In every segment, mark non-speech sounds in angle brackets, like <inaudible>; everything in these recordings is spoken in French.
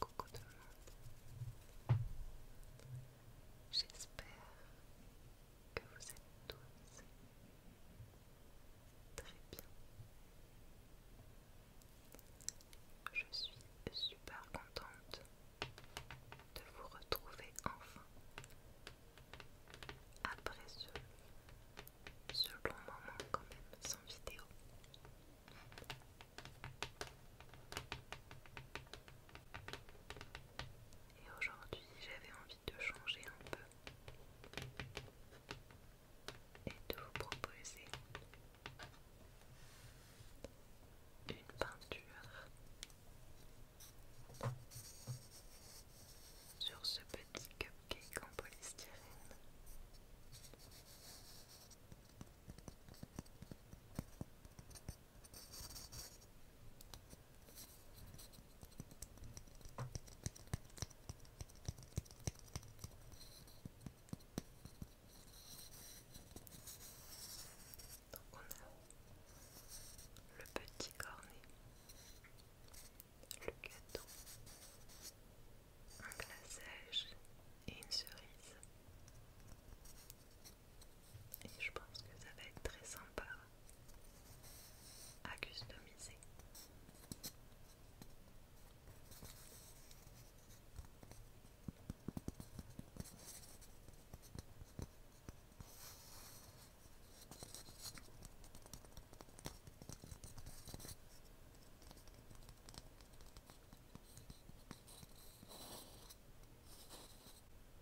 Coucou tout le monde. J'espère que vous êtes tous très bien. Je suis super contente de vous retrouver enfin après ce ce long moment quand même sans vidéo. Et aujourd'hui j'avais envie de changer un peu et de vous proposer une peinture sur ce petit cup cupcake en polystyrène. Donc on a le petit cornet le gâteau, un glaçage et une cerise. Et je pense que ça va être très sympa à customiser.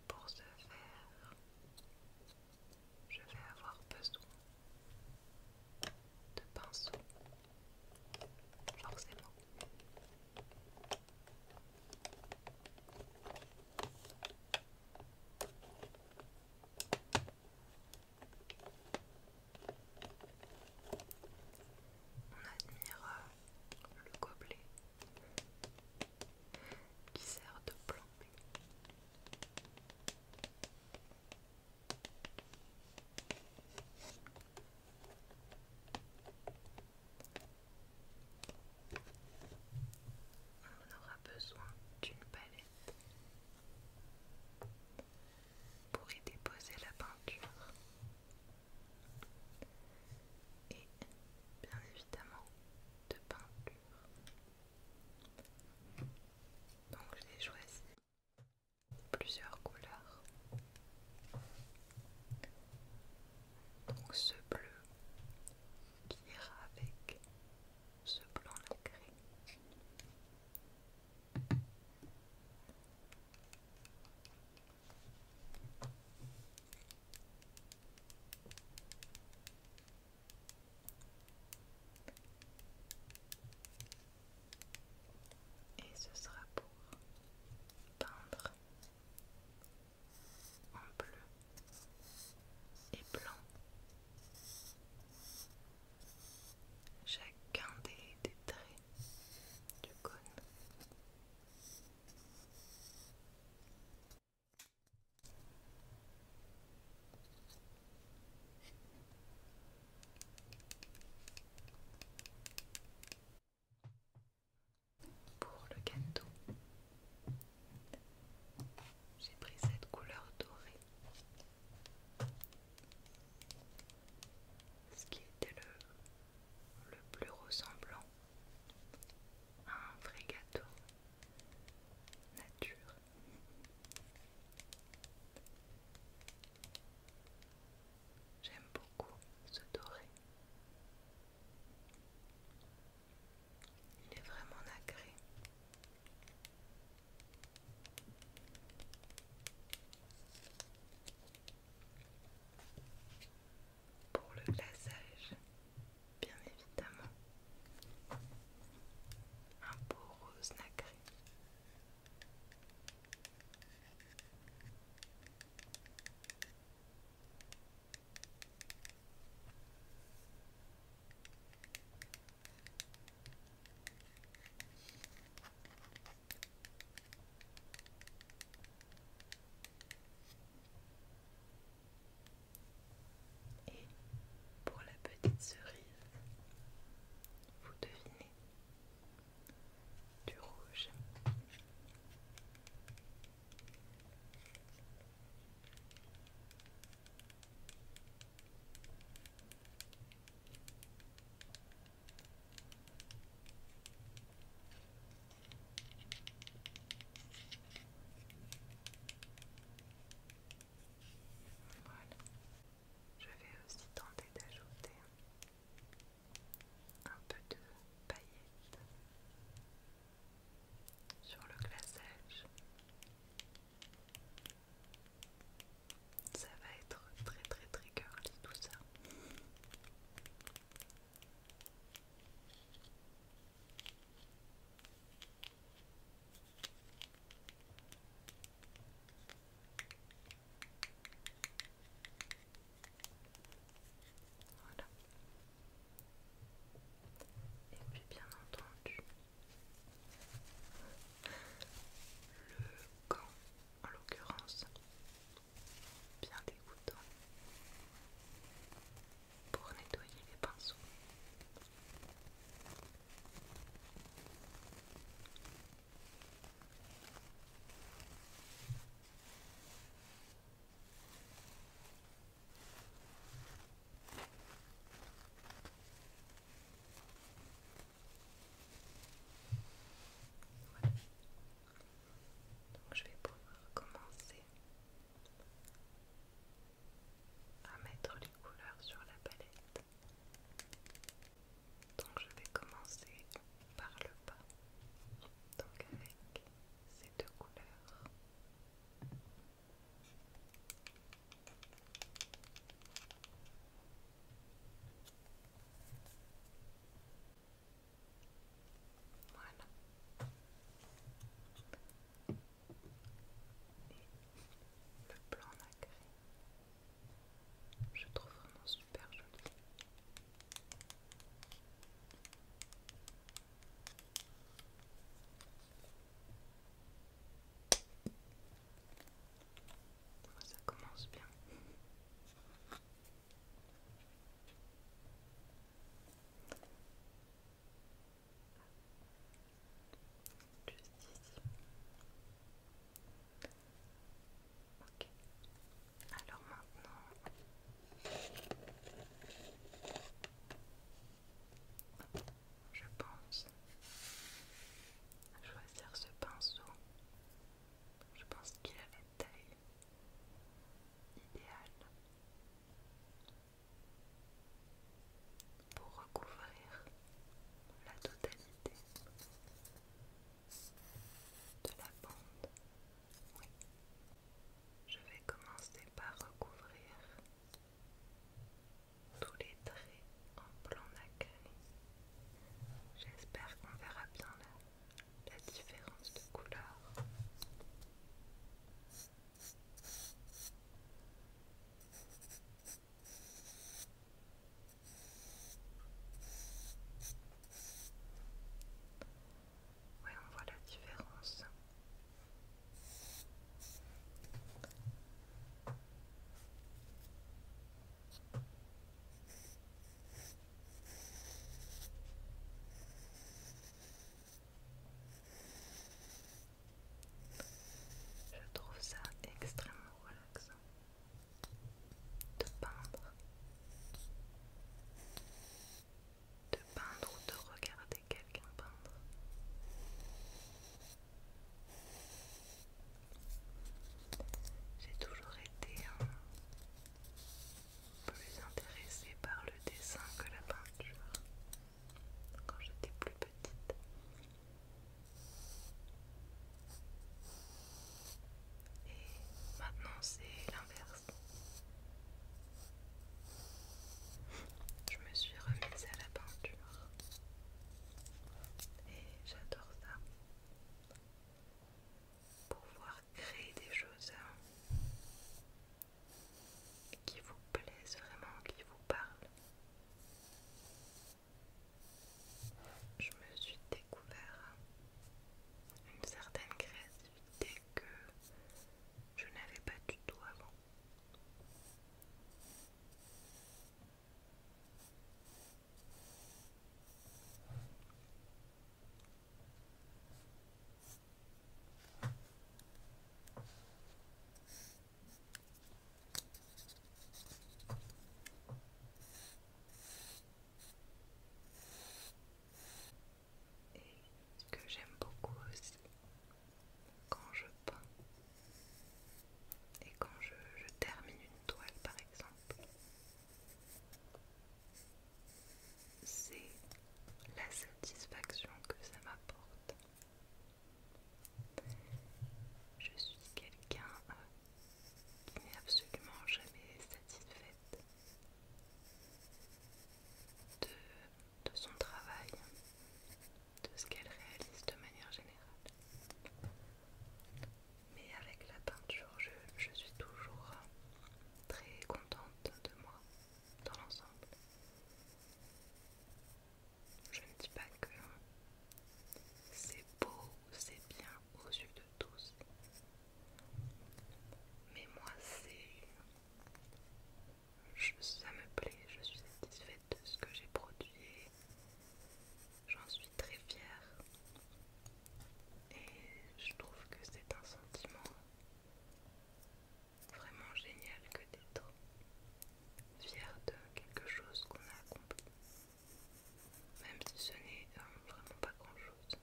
Pour ce faire, je vais avoir besoin de pinceaux, forcément. On admire euh, le gobelet qui sert de plan On aura besoin d'une palette pour y déposer la peinture et bien évidemment de peinture. Donc j'ai choisi plusieurs couleurs. Donc ce bleu qui ira avec ce blanc gris et ce sera pour peindre en bleu et blanc chacun des, traits du cône. Pour le gâteau, j'ai pris cette couleur dorée ce qui était le, plus ressemblant à un vrai gâteau nature. J'aime beaucoup ce doré. Il est vraiment agréé. Pour le glaçage, bien évidemment, un beau rose nacré. Et pour la petite cerise, vous devinez du rouge. Je vais aussi tenter d'ajouter un peu de paillettes sur le glaçage. Ça va être très très très curly tout ça. Voilà. Et puis bien entendu, le gant, en l'occurrence, bien dégoûtant pour nettoyer les pinceaux je vais pouvoir commencer à mettre les couleurs sur la palette. Donc je vais commencer par le bas, donc avec ces deux couleurs. Voilà. le plan nacré. Je trouve vraiment super joli. Ça commence bien. Juste ici. Ok. Alors maintenant, je pense, à choisir ce pinceau. Je pense qu'il a la taille idéale pour recouvrir la totalité de la bande. Je vais commencer par recouvrir tous les traits en plan nacré. J'espère qu'on verra bien la, différence de couleur. Oui on voit la différence. Je trouve ça extrêmement relaxant de peindre, de peindre ou de regarder j'ai toujours été plus intéressée par le dessin que la peinture quand j'étais plus petite. Et maintenant c'est l'inverse. Je me suis remise à la peinture et j'adore ça. Pouvoir créer des choses hein, qui vous plaisent vraiment, qui vous parlent. Je me suis découvert hein, une certaine créativité que je n'avais pas du tout avant. Et que j'aime beaucoup aussi, quand je peins et quand je, termine une toile par exemple, c'est la satisfaction que ça m'apporte. Je suis quelqu'un euh, qui n'est absolument jamais satisfaite de de son travail, de ce qu'elle réalise de manière générale. Mais avec la peinture, je, suis toujours très contente de moi, dans l'ensemble. Je ne dis pas que c'est beau c'est bien aux yeux de tous. Mais moi, c'est ça me plaît, je suis satisfaite de ce que j'ai produit. J'en suis très fière. Et je trouve que c'est un sentiment vraiment génial que d'être fière de quelque chose qu'on a accompli. Même si ce n'est euh, vraiment pas grand-chose.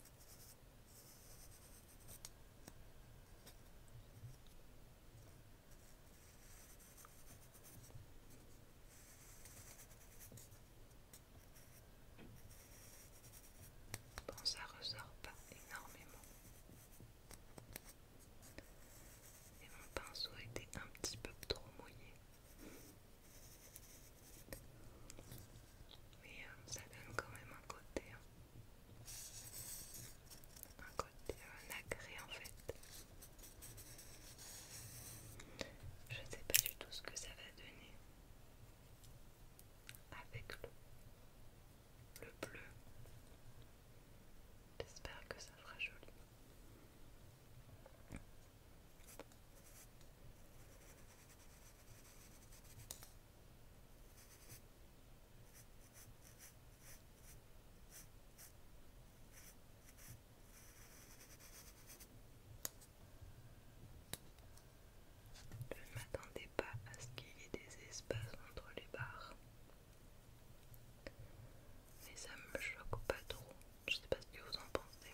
Bon, ça ressort pas énormément. Et mon pinceau était un petit peu trop mouillé. Mais euh, ça donne quand même un côté. Hein un côté agré en fait. Je sais pas du tout ce que ça va donner avec le, bleu. J'espère que ça fera joli. Je ne m'attendais pas à ce qu'il y ait des espaces entre les barres. Mais ça me choque pas trop. Je ne sais pas ce que vous en pensez.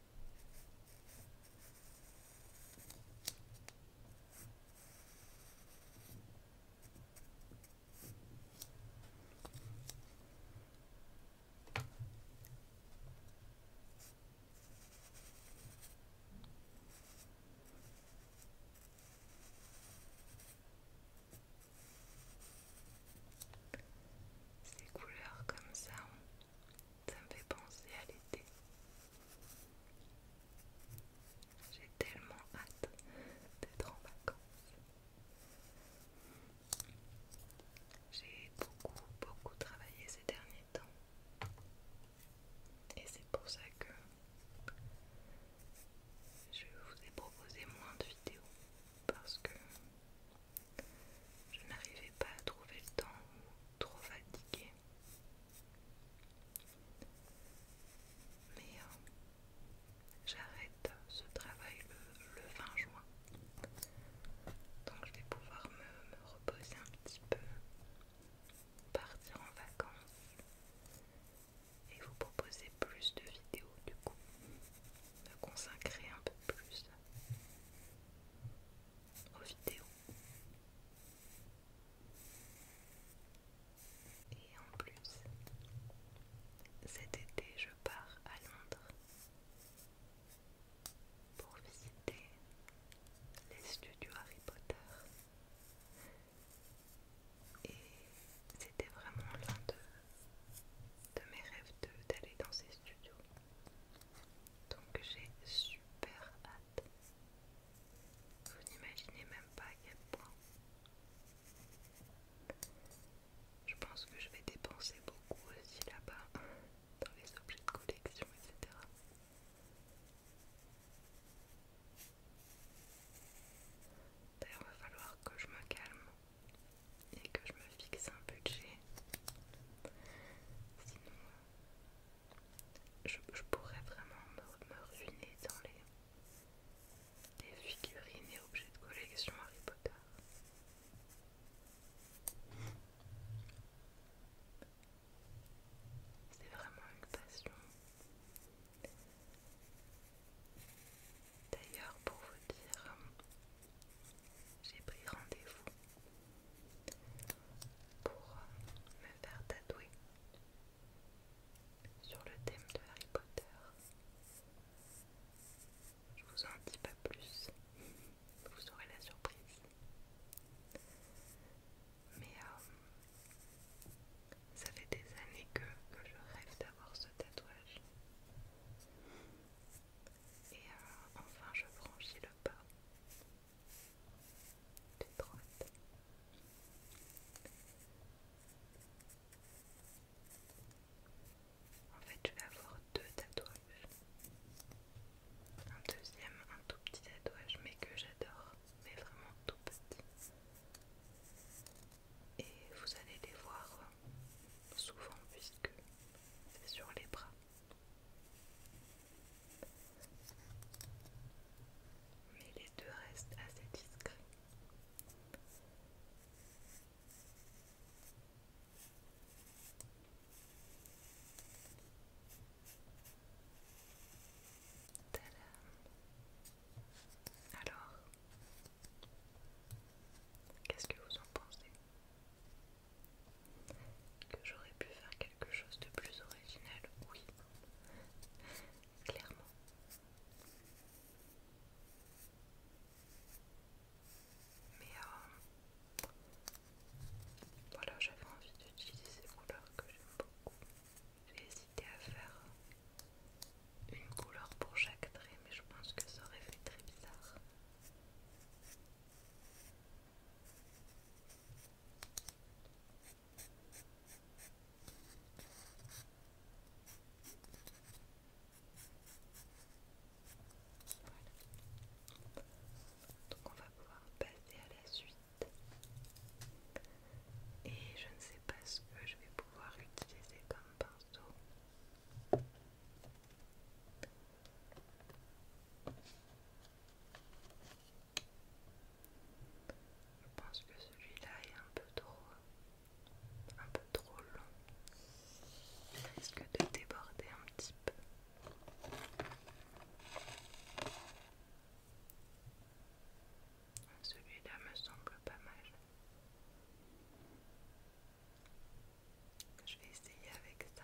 Ces couleurs comme ça, ça me fait penser à l'été. J'ai tellement hâte d'être en vacances. J'ai beaucoup, beaucoup travaillé ces derniers temps. Et c'est pour ça que je vous ai proposé moins de vidéos. Parce que je n'arrivais pas à trouver le temps ou trop fatiguée mais j'arrête ce travail le, 20 juin. Donc je vais pouvoir me reposer un petit peu, partir en vacances et vous proposer plus de vidéos du coup, me consacrer un peu plus aux vidéos et en plus, cet été, je pars à Londres pour visiter les studios Harry Potter. Et c'était vraiment l'un de, mes rêves d'aller dans ces studios. Donc j'ai super hâte. Vous n'imaginez même pas à quel point. Je pense que je vais dépenser beaucoup aussi là-bas dans les objets de collection, etc. D'ailleurs, il va falloir que je me calme et que je me fixe un budget. Sinon, je, pourrais vraiment me, ruiner dans les figurines et objets de collection Harry Potter. C'est vraiment une passion. D'ailleurs, pour vous dire, j'ai pris rendez-vous pour euh, me faire tatouer sur le thème de Harry Potter. Je vous en dis pas plus, vous aurez la surprise. Mais euh, ça fait des années que, je rêve d'avoir ce tatouage. Et euh, enfin je franchis le pas en fait, je vais avoir deux tatouages. Un deuxième, un tout petit tatouage, mais que j'adore, mais vraiment tout petit. Et vous allez les voir souvent puisque c'est sur les bras. Mais les deux restent assez discrets. Alors, qu'est-ce que vous en pensez que j'aurais pu faire quelque chose de plus original, oui, clairement. Mais euh, voilà, j'avais envie d'utiliser ces couleurs que j'aime beaucoup. J'ai hésité à faire une couleur pour chaque trait, mais je pense que ça aurait fait très bizarre. Donc on va pouvoir passer à la suite. Et je ne sais pas ce que je vais pouvoir utiliser comme pinceau. Je pense que celui-là est un peu trop un peu trop long. Il risque de déborder un petit peu. Celui-là me semble pas mal. Je vais essayer avec ça.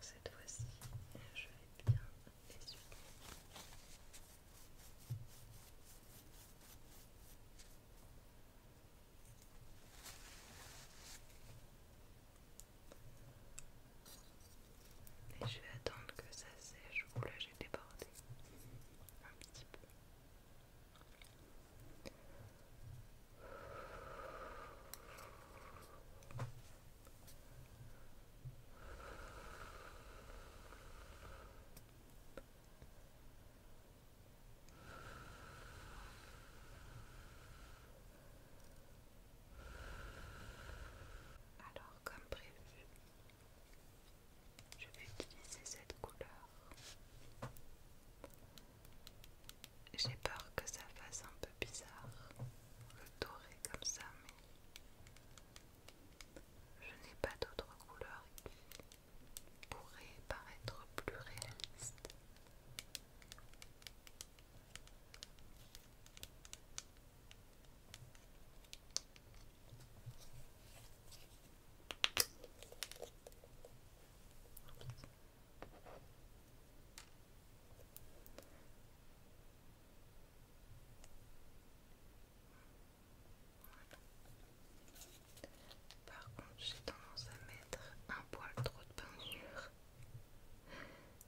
Cette fois-ci, je vais bien je vais attendre que ça sèche. Oula, j'ai débordé un petit peu. Alors, comme prévu, je vais utiliser cette couleur. J'ai peur que ça fasse un peu bizarre, le doré comme ça, je n'ai pas d'autres couleurs qui pourraient paraître plus réalistes. Par contre, j'ai tendance à mettre un poil trop de peinture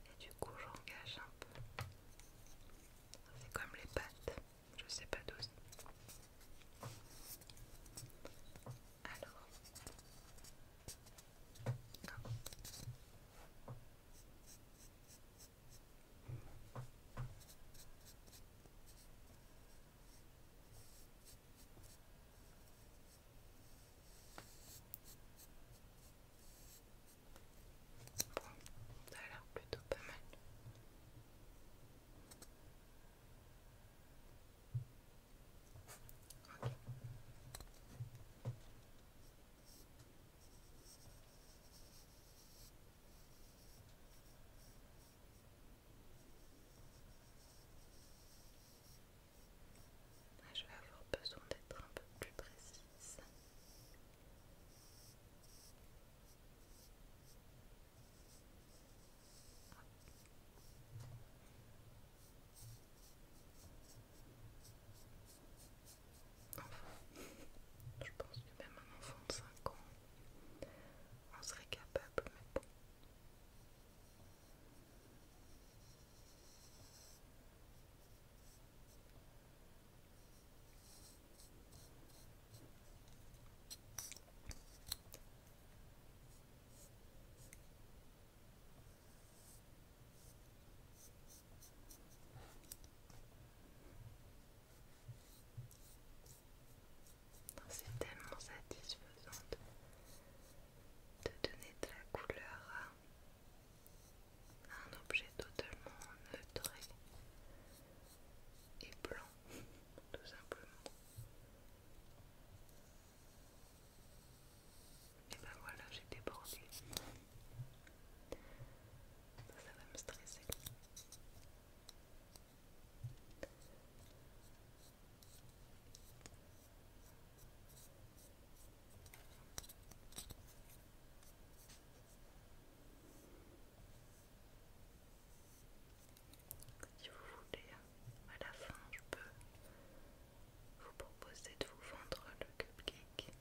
et du coup, j'engage un peu. C'est comme les pattes, je sais pas d'où. Alors, Bon, ça a l'air plutôt pas mal. Ah, je vais avoir besoin d'être un peu plus précise. Enfin, je pense que même un enfant de cinq ans en serait capable, mais bon. C'est tellement satisfaisant de, donner de la couleur à un objet totalement neutre et blanc, <laughs> tout simplement. Et ben voilà, j'ai débordé. Ça, ça va me stresser. Si vous voulez, à la fin, je peux vous proposez de vous vendre le cupcake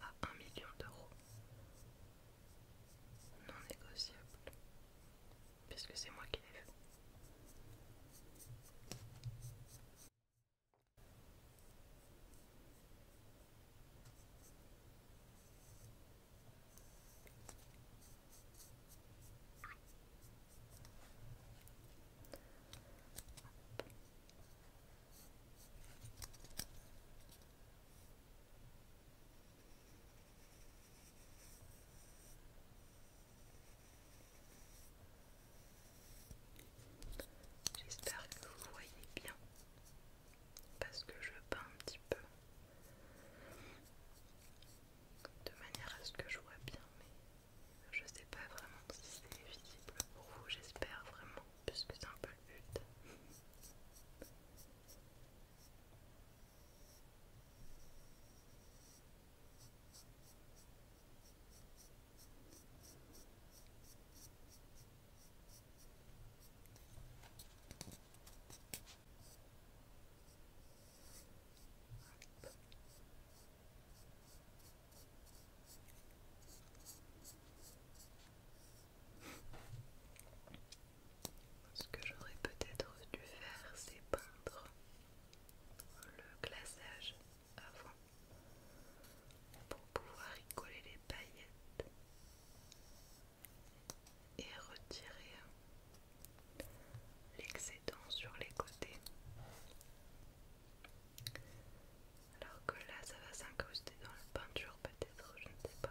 à 1 million d'euros. Non négociable, puisque c'est moi qui l'ai fait. J'espère que vous voyez bien parce que je peins un petit peu de manière à ce que je vois bien, mais je sais pas vraiment si c'est visible pour vous, j'espère vraiment, puisque c'est un peu le but. Ce que j'aurais peut-être dû faire, c'est peindre le glaçage avant pour pouvoir y coller les paillettes et retirer l'excédent sur les côtés. Alors que là, ça va s'incruster dans la peinture, peut-être, je ne sais pas.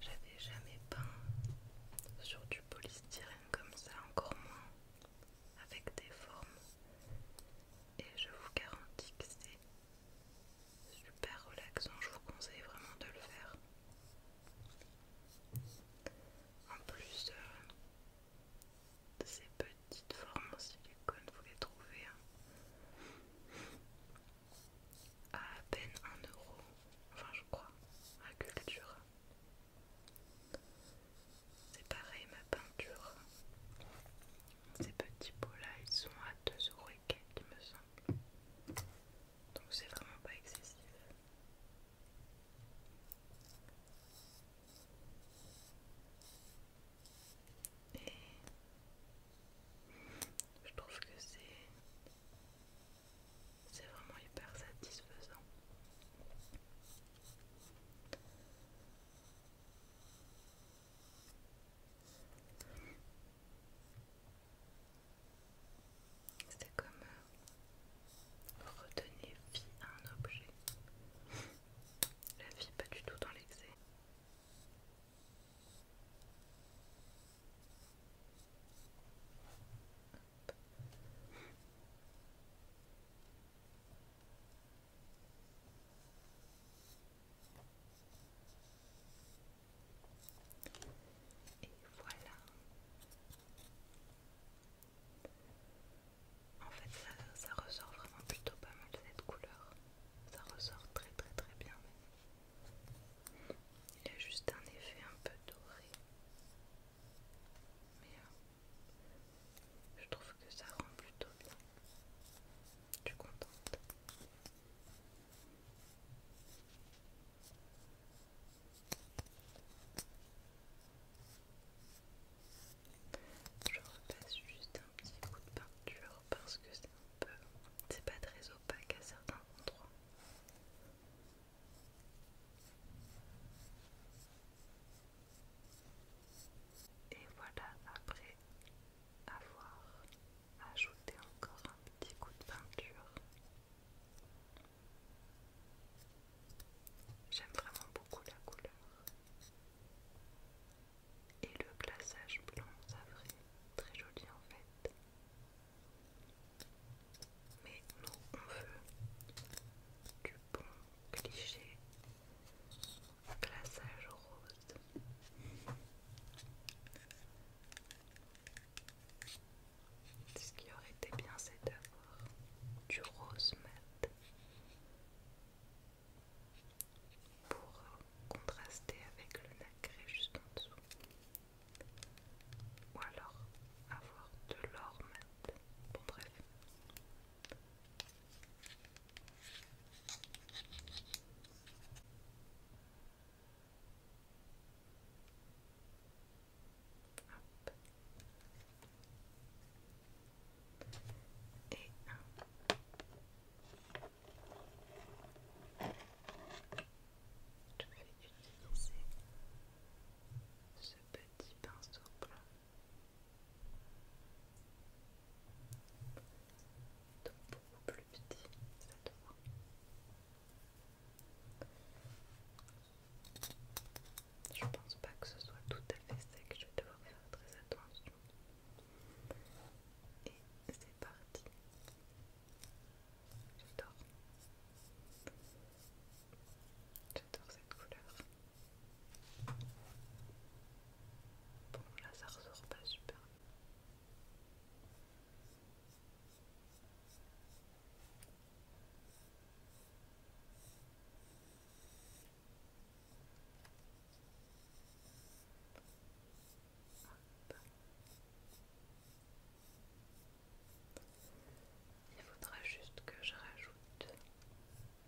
J'avais jamais peint sur du polystyrène comme ça, encore moins avec des formes. Et je vous garantis que c'est super relaxant, je vous conseille vraiment de le faire. En plus, euh, de ces petites formes en silicone, vous les trouvez hein à à peine 1 euro, enfin je crois, à culture. C'est pareil ma peinture. Ces petits pots là, ils sont à 2€ et quelques, il me semble. Donc c'est vraiment pas excessif. Et je trouve que c'est vraiment hyper satisfaisant. C'est comme retenir euh, redonner vie à un objet. La vie pas du tout dans l'excès. Et voilà. En fait, ça, ressort vraiment plutôt pas mal cette couleur. Ça ressort très très très bien. Il a juste un effet un peu doré. Mais euh, je trouve que ça rend plutôt bien. Je suis contente. Je repasse juste un petit coup de peinture parce que peu, c'est pas très opaque à certains endroits. Et voilà, après avoir ajouté encore un petit coup de peinture. J'aime vraiment beaucoup la couleur et le glaçage blanc savré, très joli en fait. Mais nous, on veut du bon cliché glaçage rose. Ce qui aurait été bien, c'est d'avoir du rose mat pour contraster avec le nacré juste en dessous. Ou alors avoir de l'or Bon bref. Et je vais utiliser ce petit pinceau blanc. Donc beaucoup plus petit Je pense pas que ce soit tout à fait sec, je vais devoir faire très attention. Et c'est parti. J'adore. J'adore cette couleur. Bon là ça ressort pas super. Il faudra juste que je rajoute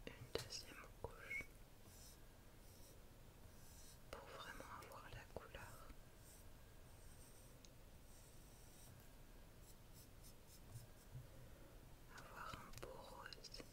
une deuxième couche pour vraiment avoir la couleur. Avoir un beau rose.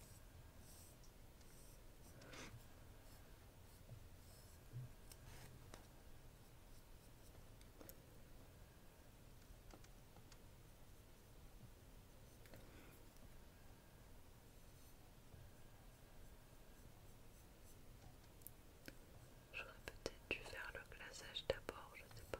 J'aurais peut-être dû faire le glaçage d'abord, je ne sais pas.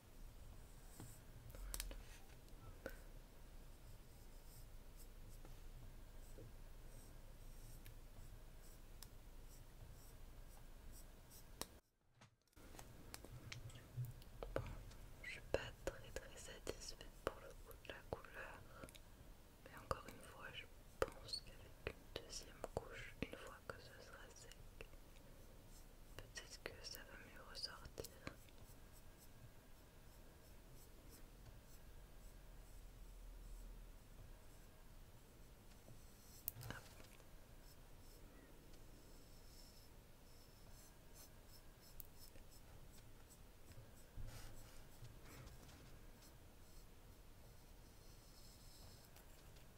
Bon, je suis pas très très satisfaite pour le coup de la couleur, mais encore une fois, je pense qu'avec une deuxième couche, une fois que ce sera sec, Peut-être que ça va mieux ressortir.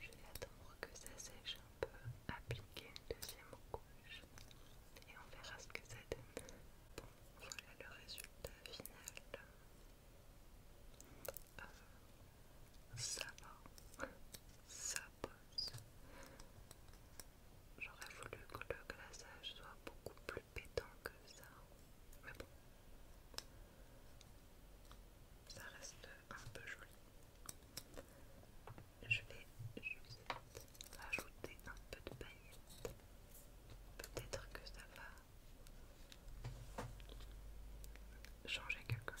Je vais attendre que ça sèche un peu, appliquer une deuxième couche et on verra ce que ça donne. Bon, voilà le résultat final. Euh, ça va, ça pose. J'aurais voulu que le glaçage soit beaucoup plus pétant que ça. Mais bon. Ça reste un peu joli. Je vais juste rajouter un peu de paillettes. Peut-être que ça va changer quelque chose.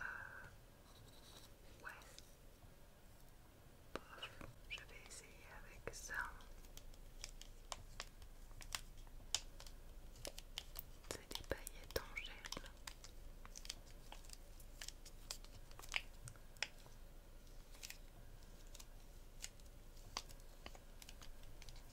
Euh, ouais. Je vais essayer avec ça. C'est des paillettes en gel.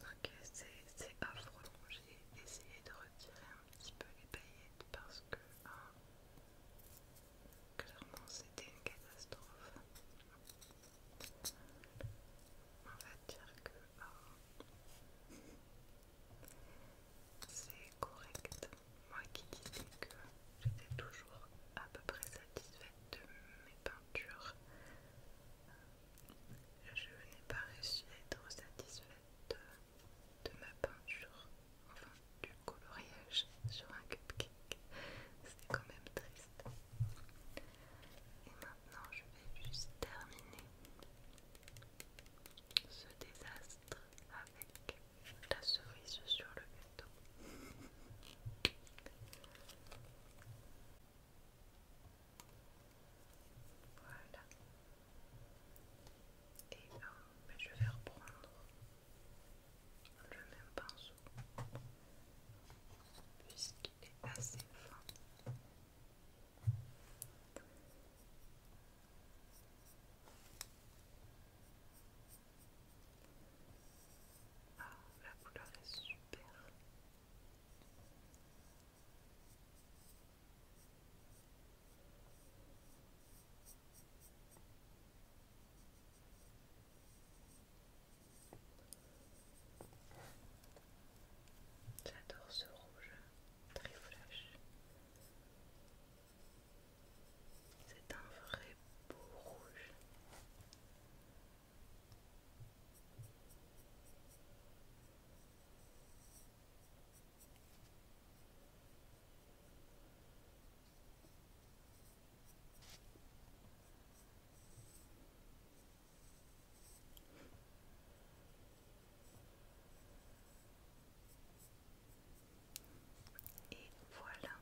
Ok, c'est affreux. J'ai essayé de retirer un petit peu les paillettes parce que hein, clairement c'était une catastrophe. On va dire que euh, c'est correct. Moi qui disais que j'étais toujours à peu près satisfaite de mes peintures, euh, je n'ai pas réussi à être satisfaite de, ma peinture, enfin du coloriage sur un cupcake. c'était quand même triste. Et maintenant, je vais juste terminer ce désastre avec la cerise sur le gâteau. Voilà. Et là, euh, ben, je vais reprendre le même pinceau morceau puisqu'il est assez fin. Ah, la couleur est super. J'adore ce rouge très flash. C'est un vrai beau rouge. Et voilà.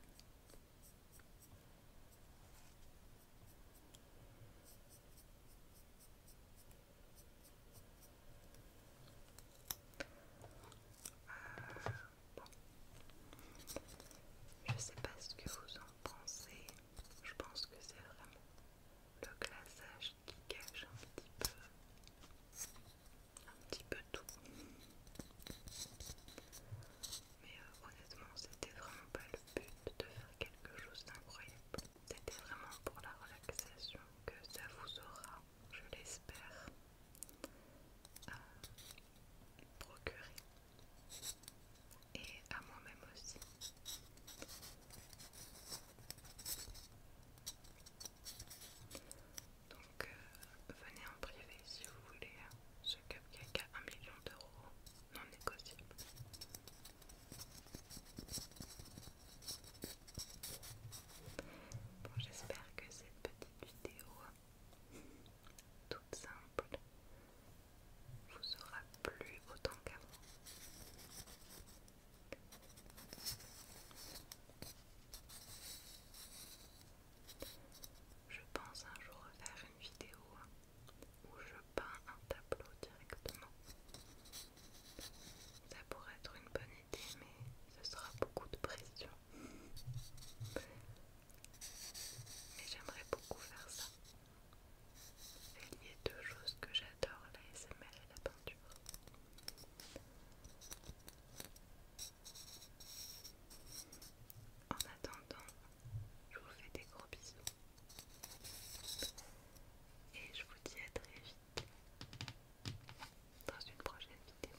Euh, Je sais pas ce que vous en pensez. Je pense que c'est vraiment le glaçage qui cache un petit peu un petit peu tout. Mais euh, honnêtement, c'était vraiment pas le but de faire quelque chose d'incroyable. C'était vraiment pour la relaxation que ça vous aura, je l'espère, euh, procurer et à moi-même aussi. Donc euh, venez en privé si vous voulez hein. ce cupcake à 1 million d'euros non négociable. Bon, j'espère que cette petite vidéo toute simple vous aura plus autant qu'avant. Je pense un jour faire une vidéo où je peins un tableau directement. Ça pourrait être une bonne idée, mais ce sera beaucoup de pression. Mais j'aimerais beaucoup faire ça. Il y a deux choses que j'adore, la SML et la peinture. En attendant, je vous fais des gros bisous. Et je vous dis à très vite dans une prochaine vidéo.